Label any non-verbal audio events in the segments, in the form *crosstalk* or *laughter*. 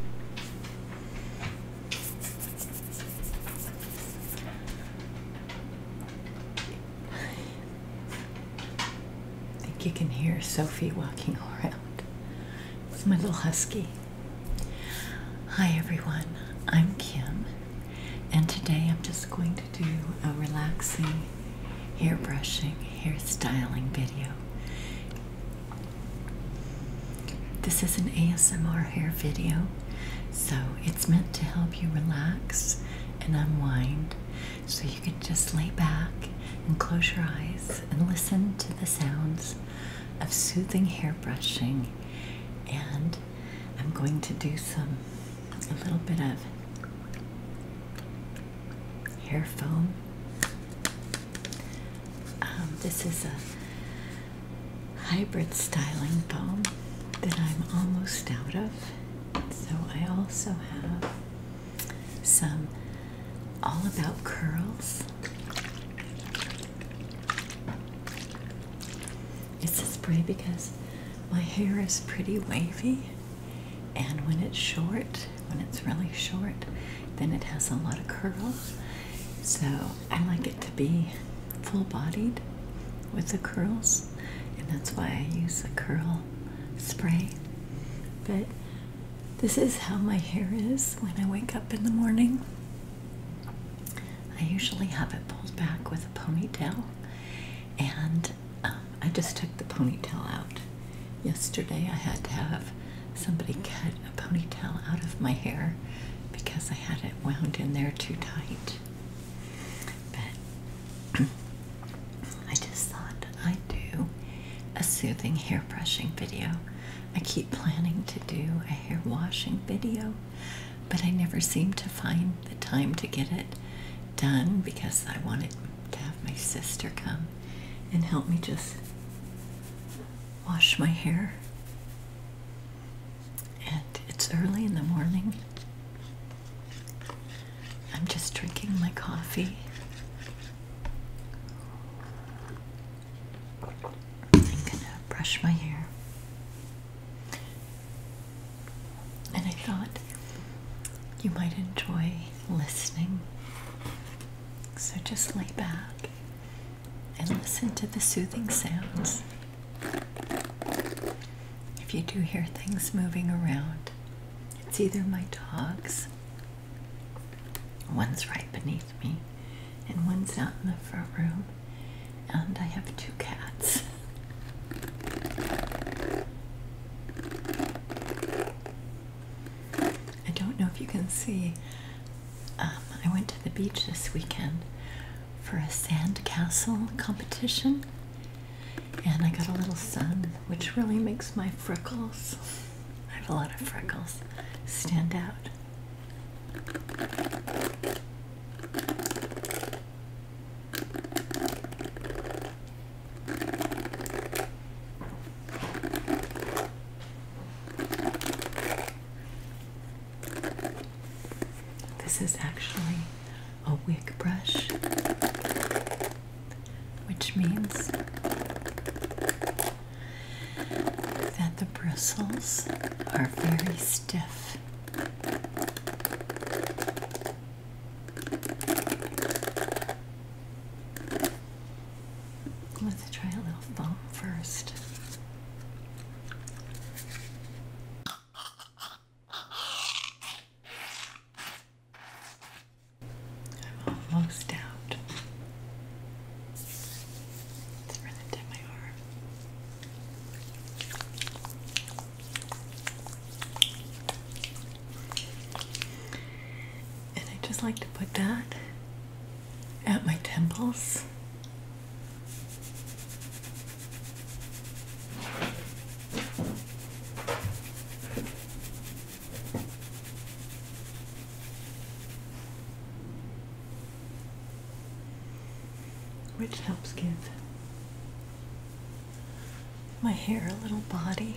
I think you can hear Sophie walking *laughs* around. It's my little husky. Hi everyone, I'm Kim, and today I'm just going to do a relaxing hair brushing, hair styling video. This is an ASMR hair video, so it's meant to help you relax and unwind. So you can just lay back and close your eyes and listen to the sounds of soothing hair brushing. And I'm going to do some, a little bit of hair foam um, this is a hybrid styling balm that I'm almost out of. So I also have some All About Curls. It's a spray because my hair is pretty wavy, and when it's short, when it's really short, then it has a lot of curls. So I like it to be full bodied with the curls, and that's why I use the curl spray. But this is how my hair is when I wake up in the morning. I usually have it pulled back with a ponytail, and um, I just took the ponytail out yesterday. I had to have somebody cut a ponytail out of my hair because I had it wound in there too tight. But *clears throat* I just thought I'd do a soothing hair brushing video. I keep planning to do a hair washing video, but I never seem to find the time to get it done because I wanted to have my sister come and help me just wash my hair. And it's early in the morning. I'm just drinking my coffee I'm gonna brush my hair and I thought you might enjoy listening so just lay back and listen to the soothing sounds. If you do hear things moving around, it's either my dogs, one's right beneath me, and one's out in the front room, and I have two cats. I don't know if you can see, um, I went to the beach this weekend for a sandcastle competition, and I got a little sun, which really makes my freckles I have a lot of freckles stand out. This is actually a wig brush, which means that the bristles are very stiff. Let's try a little foam first. I'm almost out. Let's run it down my arm. And I just like to put that at my temples. Which helps give my hair a little body.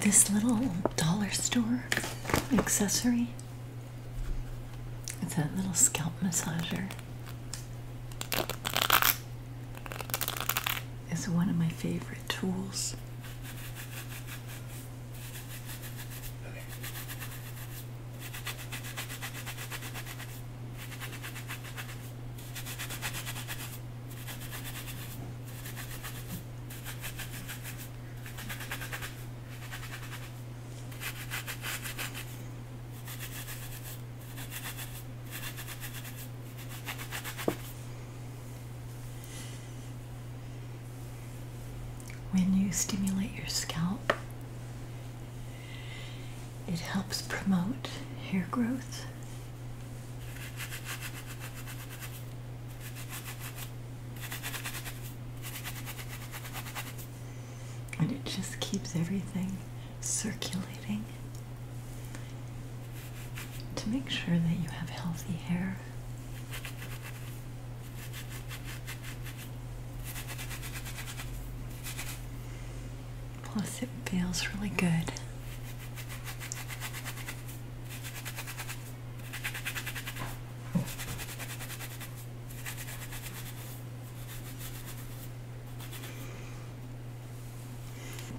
this little dollar store accessory. It's that little scalp massager. is one of my favorite tools. When you stimulate your scalp, it helps promote hair growth and it just keeps everything circulating to make sure that you have healthy hair. Plus, it feels really good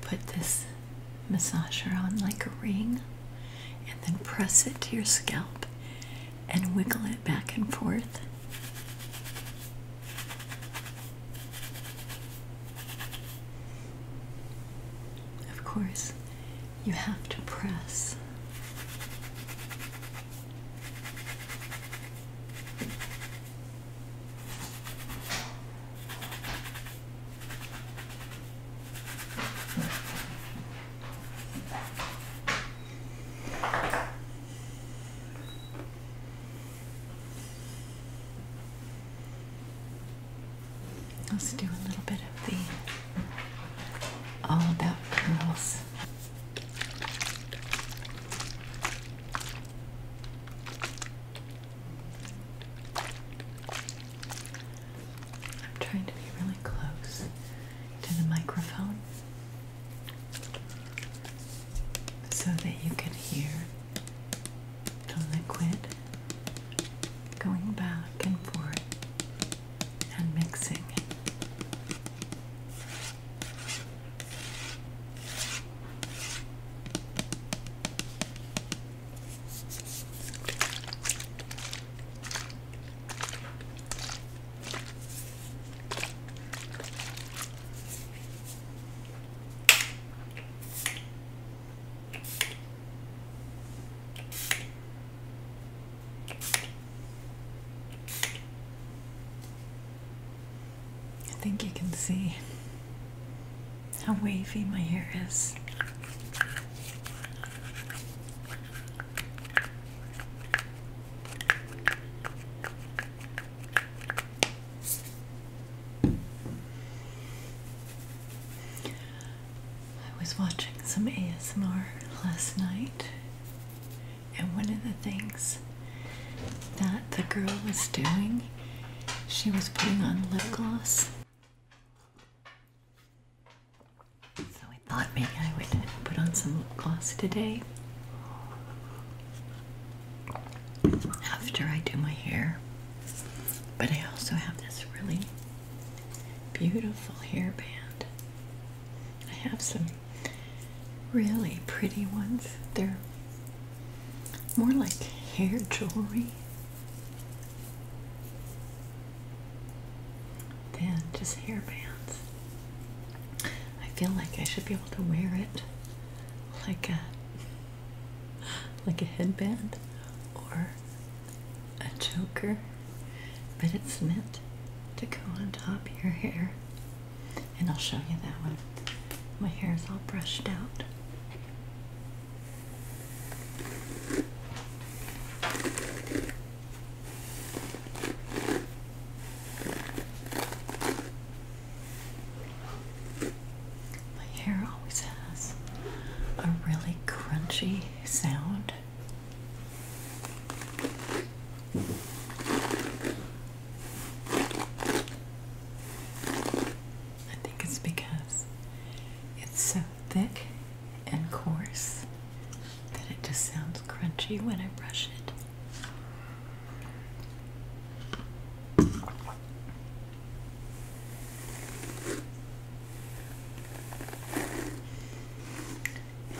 Put this massager on like a ring and then press it to your scalp and wiggle it back and forth. Of course, you have to press. Let's do a little bit of the All About Curls. I'm trying to be really close to the microphone so that you can hear the liquid going back and forth and mixing. I think you can see how wavy my hair is. I was watching some ASMR last night, and one of the things that the girl was doing, she was putting on lip gloss. So I thought maybe I would put on some lip gloss today after I do my hair. But I also have this really beautiful hairband. I have some really pretty ones. They're more like hair jewelry than just hairbands. I feel like I should be able to wear it like a like a headband or a choker, but it's meant to go on top of your hair. And I'll show you that one. My hair is all brushed out. My hair always has a really crunchy sound. I think it's because it's so thick and coarse that it just sounds crunchy when I brush it.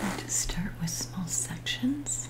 And just start with small sections.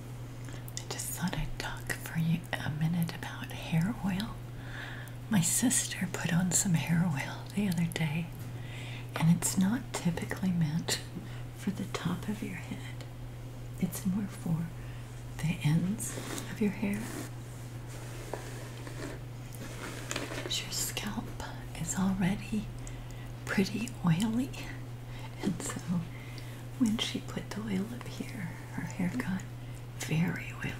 I just thought I'd talk for you a minute about hair oil. My sister put on some hair oil the other day, and it's not typically meant for the top of your head. It's more for the ends of your hair. Your scalp is already pretty oily, and so when she put the oil up here, her hair got very oily.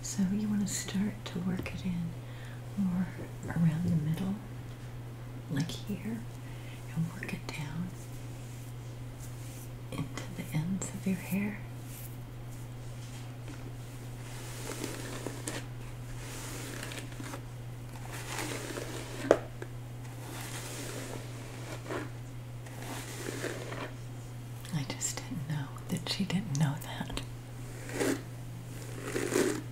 So you want to start to work it in more around the middle like here, and work it down into the ends of your hair. I just didn't know that she didn't know that.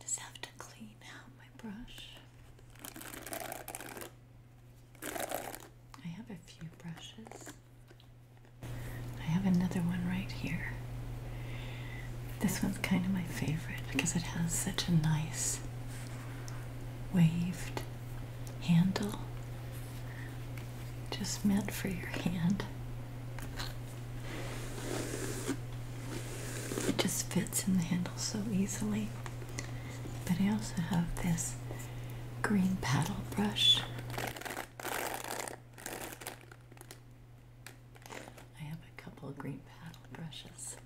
Just have to clean out my brush. I have a few brushes. I have another one right here. This one's kind of my favorite because it has such a nice waved handle, just meant for your hand. It just fits in the handle so easily. But I also have this green paddle brush. I have a couple green paddle brushes.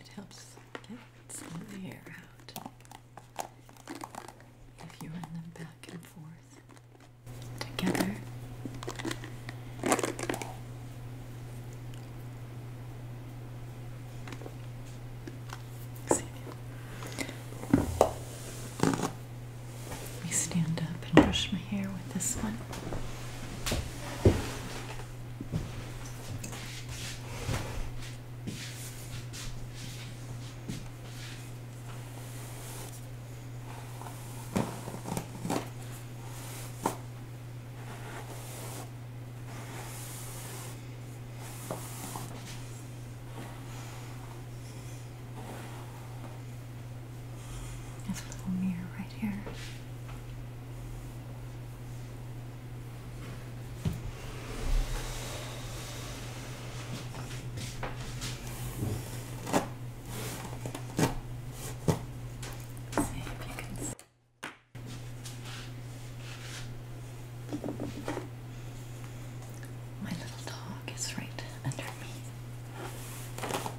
It helps get some of the air out if you run them back and forth together. Let me stand up and brush my hair with this one. There's a little mirror right here. see if you can see. My little dog is right under me.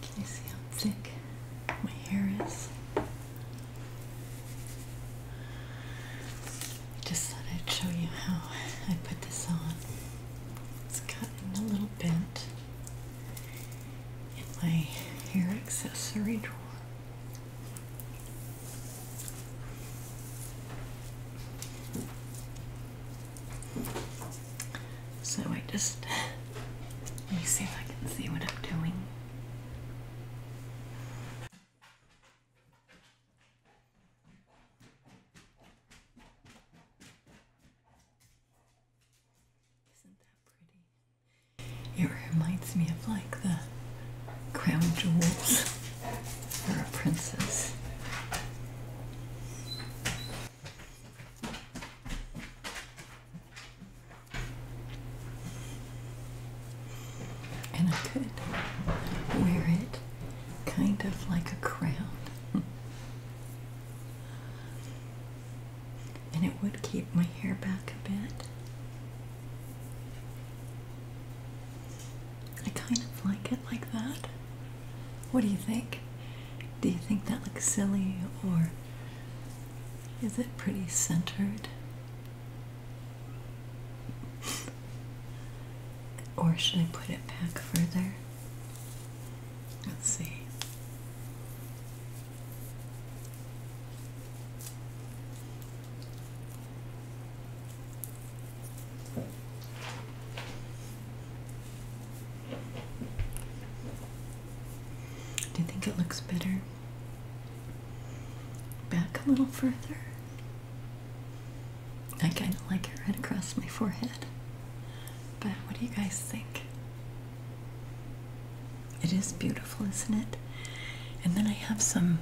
Can you see how thick my hair is? Just thought I'd show you how I put this on. It's gotten a little bent in my hair accessory drawer. So I just let me see if I can see what I'm doing. Isn't that pretty? It reminds me of like the crown jewels or a princess. And I could wear it kind of like a crown. *laughs* and it would keep my hair back a bit. I kind of like it like that. What do you think? Do you think that looks silly or is it pretty centered? *laughs* or should I put it back further? Let's see. Do you think it looks better? Back a little further. I kind of like it right across my forehead. But what do you guys think? It is beautiful, isn't it? And then I have some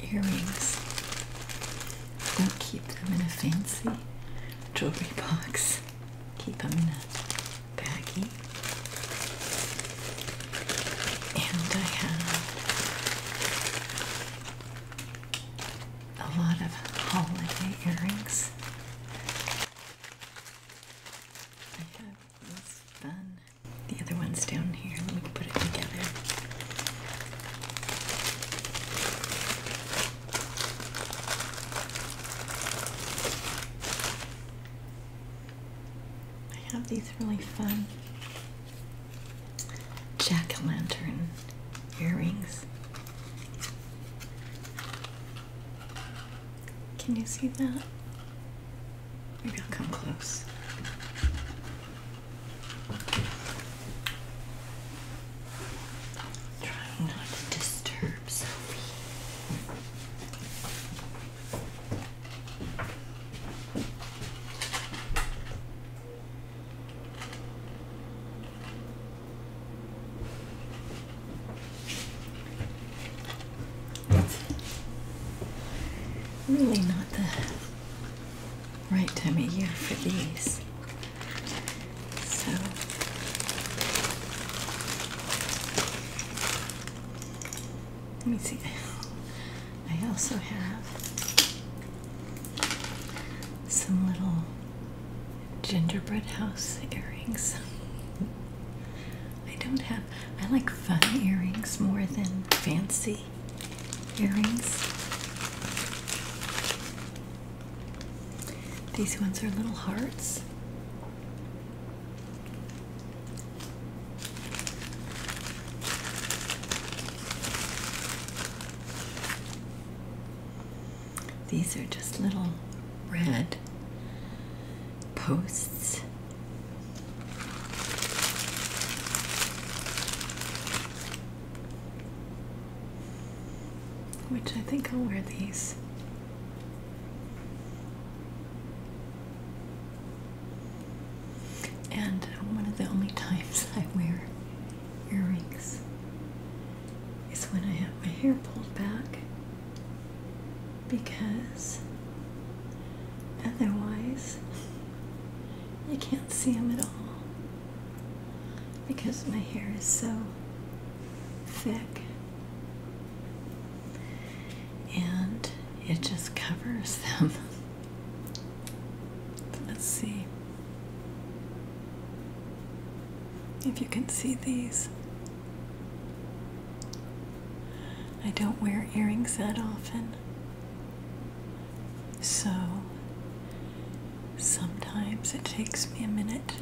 earrings. Don't keep them in a fancy jewelry box. Keep them in a baggie. And I have a lot of holiday earrings. I this fun. The other one's down here. Let me put it together. I have these really fun jack o' lantern earrings. Can you see that? Maybe I'll come close. Trying not to disturb Sophie. Really not the right time of year for these. So let me see. I also have some little gingerbread house earrings. I don't have, I like fun earrings more than fancy earrings. These ones are little hearts. These are just little red posts. Which I think I'll wear these and one of the only times *laughs* I wear earrings is when I have my hair pulled back because otherwise you can't see them at all because my hair is so thick and it just covers *laughs* them. Let's see if you can see these. I don't wear earrings that often, so sometimes it takes me a minute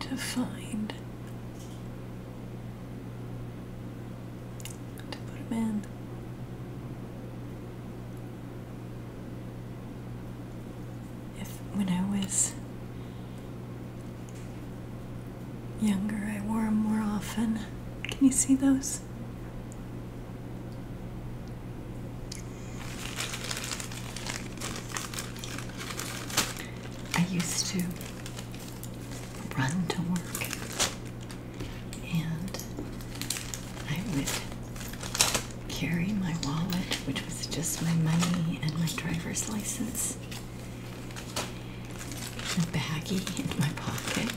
to find to put them in. If when I was younger, I wore them more often. Can you see those? I used to run to work and I would carry my wallet, which was just my money and my driver's license, in a baggie in my pocket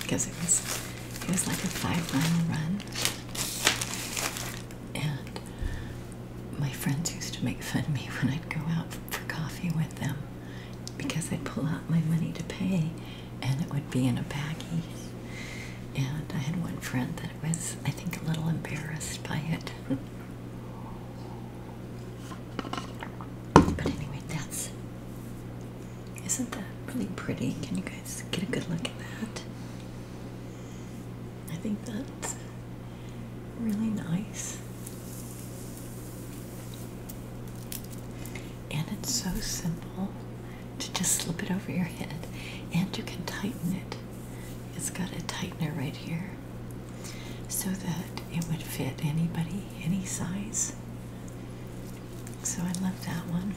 because it was it was like a five mile run. And my friends used to make fun of me when I'd go out for coffee with them because I'd pull out my money to pay and it would be in a baggie. And I had one friend that was, I think, a little embarrassed by it. but anyway, that's. Isn't that really pretty? Can you guys get a good look at that? I think that's really nice. And it's so simple to just slip it over your head, and you can tighten it. It's got a tightener right here so that it would fit anybody, any size. So I love that one.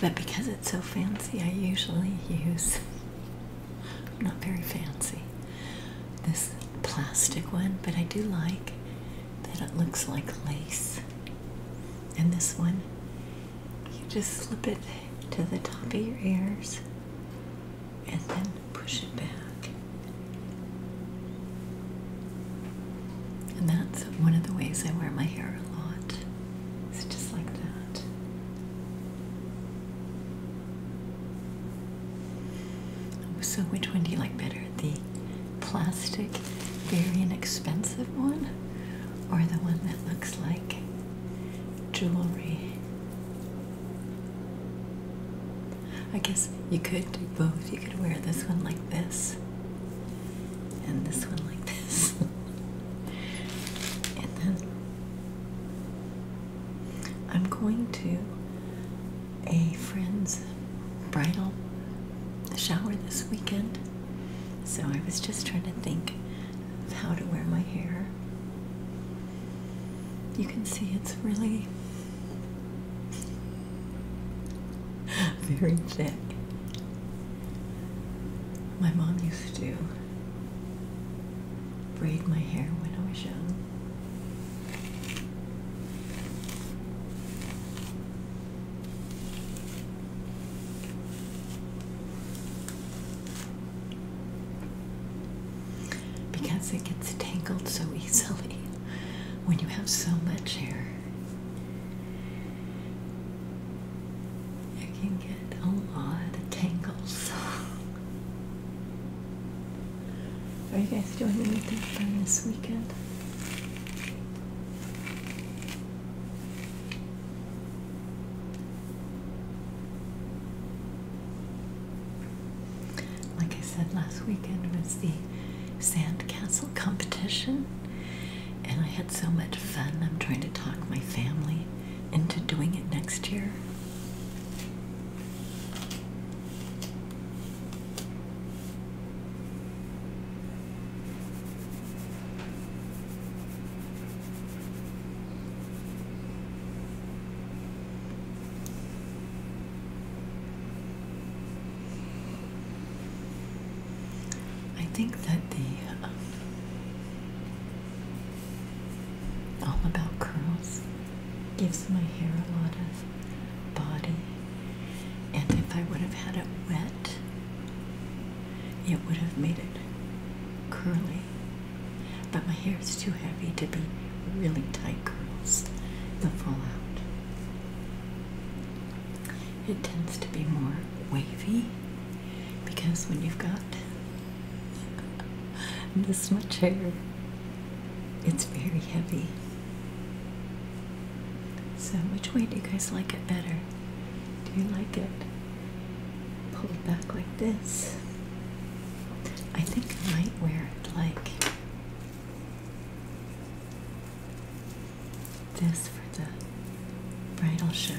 But because it's so fancy, I usually use, *laughs* not very fancy, this plastic one, but I do like that it looks like lace. And this one, you just slip it to the top of your ears and then push it back. And that's one of the ways I wear my hair a lot. It's just like that. So, which one do you like better? the plastic, very inexpensive one, or the one that looks like jewelry? I guess you could do both. You could wear this one like this, and this one like *laughs* this, and then I'm going to a friend's bridal shower this weekend. So I was just trying to think of how to wear my hair. You can see it's really very thick. My mom used to braid my hair when I was young. Because it gets tangled so easily when you have so much hair, you can get a lot of tangles. *laughs* Are you guys doing anything fun this weekend? Like I said, last weekend was the sandcastle competition, and I had so much fun. I'm trying to talk my family into doing it next year. I think that the um, All About Curls gives my hair a lot of body and if I would have had it wet, it would have made it curly. But my hair is too heavy to be really tight curls, the fall out. It tends to be more wavy because when you've got *laughs* this much hair, it's very heavy. So, which way do you guys like it better? Do you like it pulled back like this? I think I might wear it like this for the bridal shower.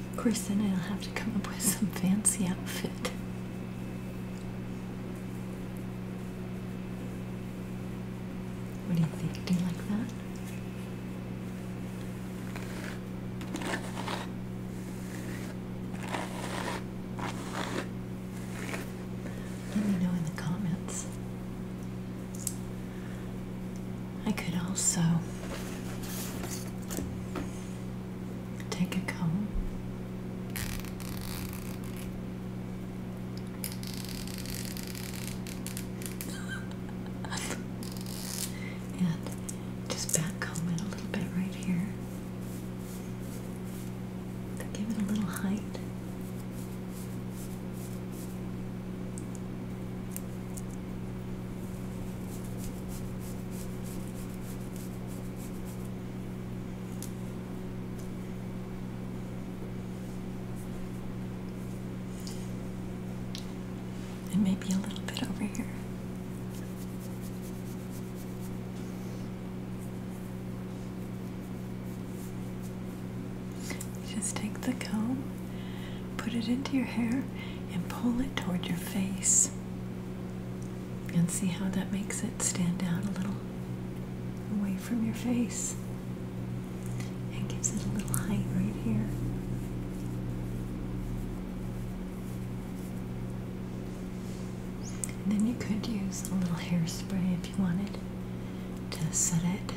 Of course, then I'll have to come up with some fancy outfit. What do you think? Do you like that? Let me know in the comments. I could also Take a comb. *laughs* and just back it a little bit right here. Give it a little height. And maybe a little bit over here. just take the comb, put it into your hair, and pull it toward your face and see how that makes it stand out a little away from your face and gives it a little height right here. then you could use a little hairspray if you wanted to set it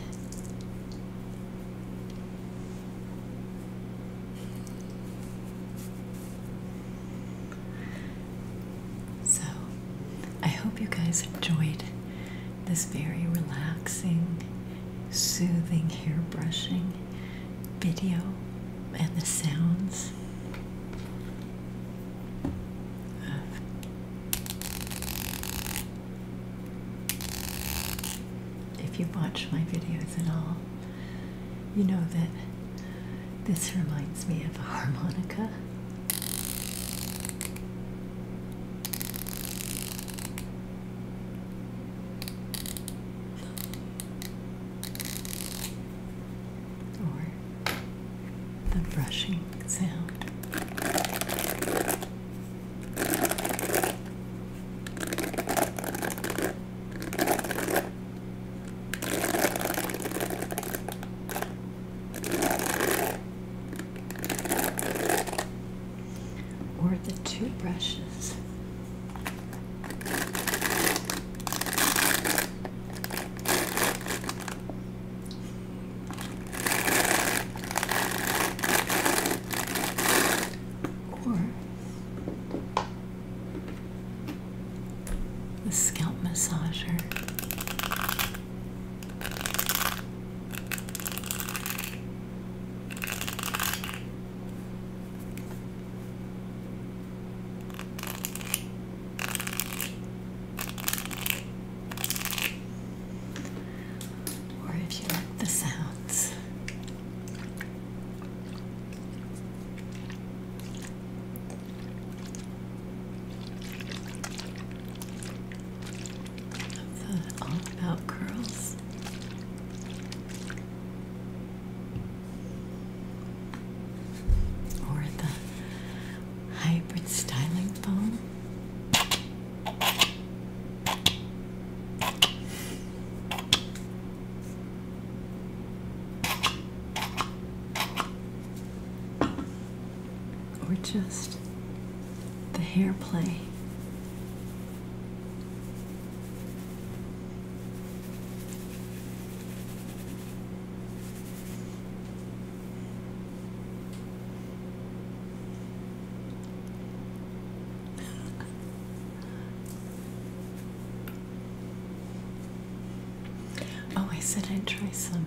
so, I hope you guys enjoyed this very relaxing, soothing hair brushing video and the sounds if you watch my videos at all. You know that this reminds me of a harmonica. Or the brushing sound. Or the two brushes. Or the scalp massager. Or if you like the sounds, all about curls. Or the hybrid styling foam. Or just the hair play. Oh, I said I'd try some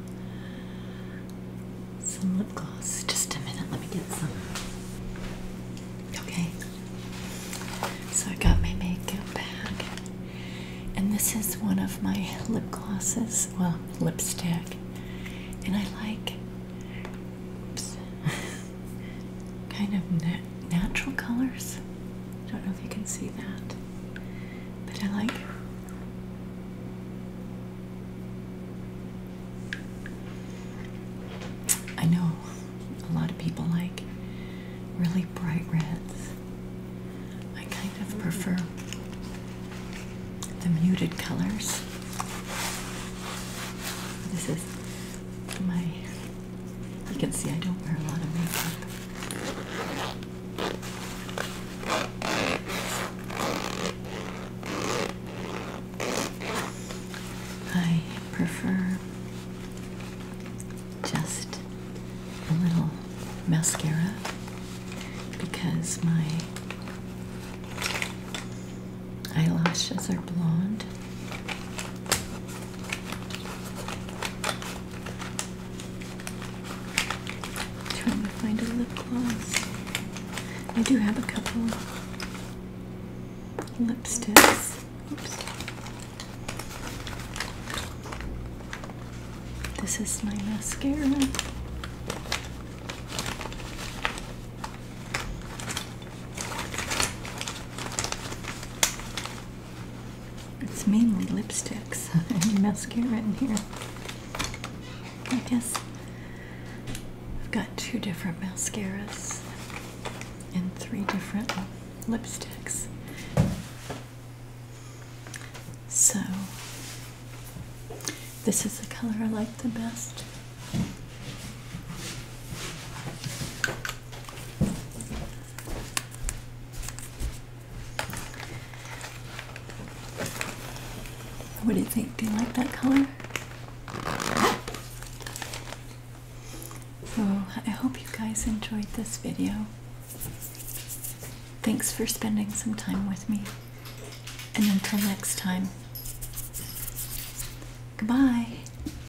some lip gloss. Just a minute, let me get some. Okay. So I got my makeup bag. And this is one of my lip glosses. Well, lipstick. And I like oops. *laughs* kind of natural colors. I don't know if you can see that, but I like I know a lot of people like really bright reds. I kind of prefer the muted colors. This is you can see I don't wear a lot of makeup. I prefer just a little mascara because my eyelashes are blonde Trying to find a lip gloss. I do have a couple lipsticks. Oops. This is my mascara. It's mainly lipsticks *laughs* and mascara in here. I guess I've got two different mascaras and three different lipsticks. So, this is the color I like the best. What do you think? Do you like that color? So I hope you guys enjoyed this video. Thanks for spending some time with me. And until next time, goodbye.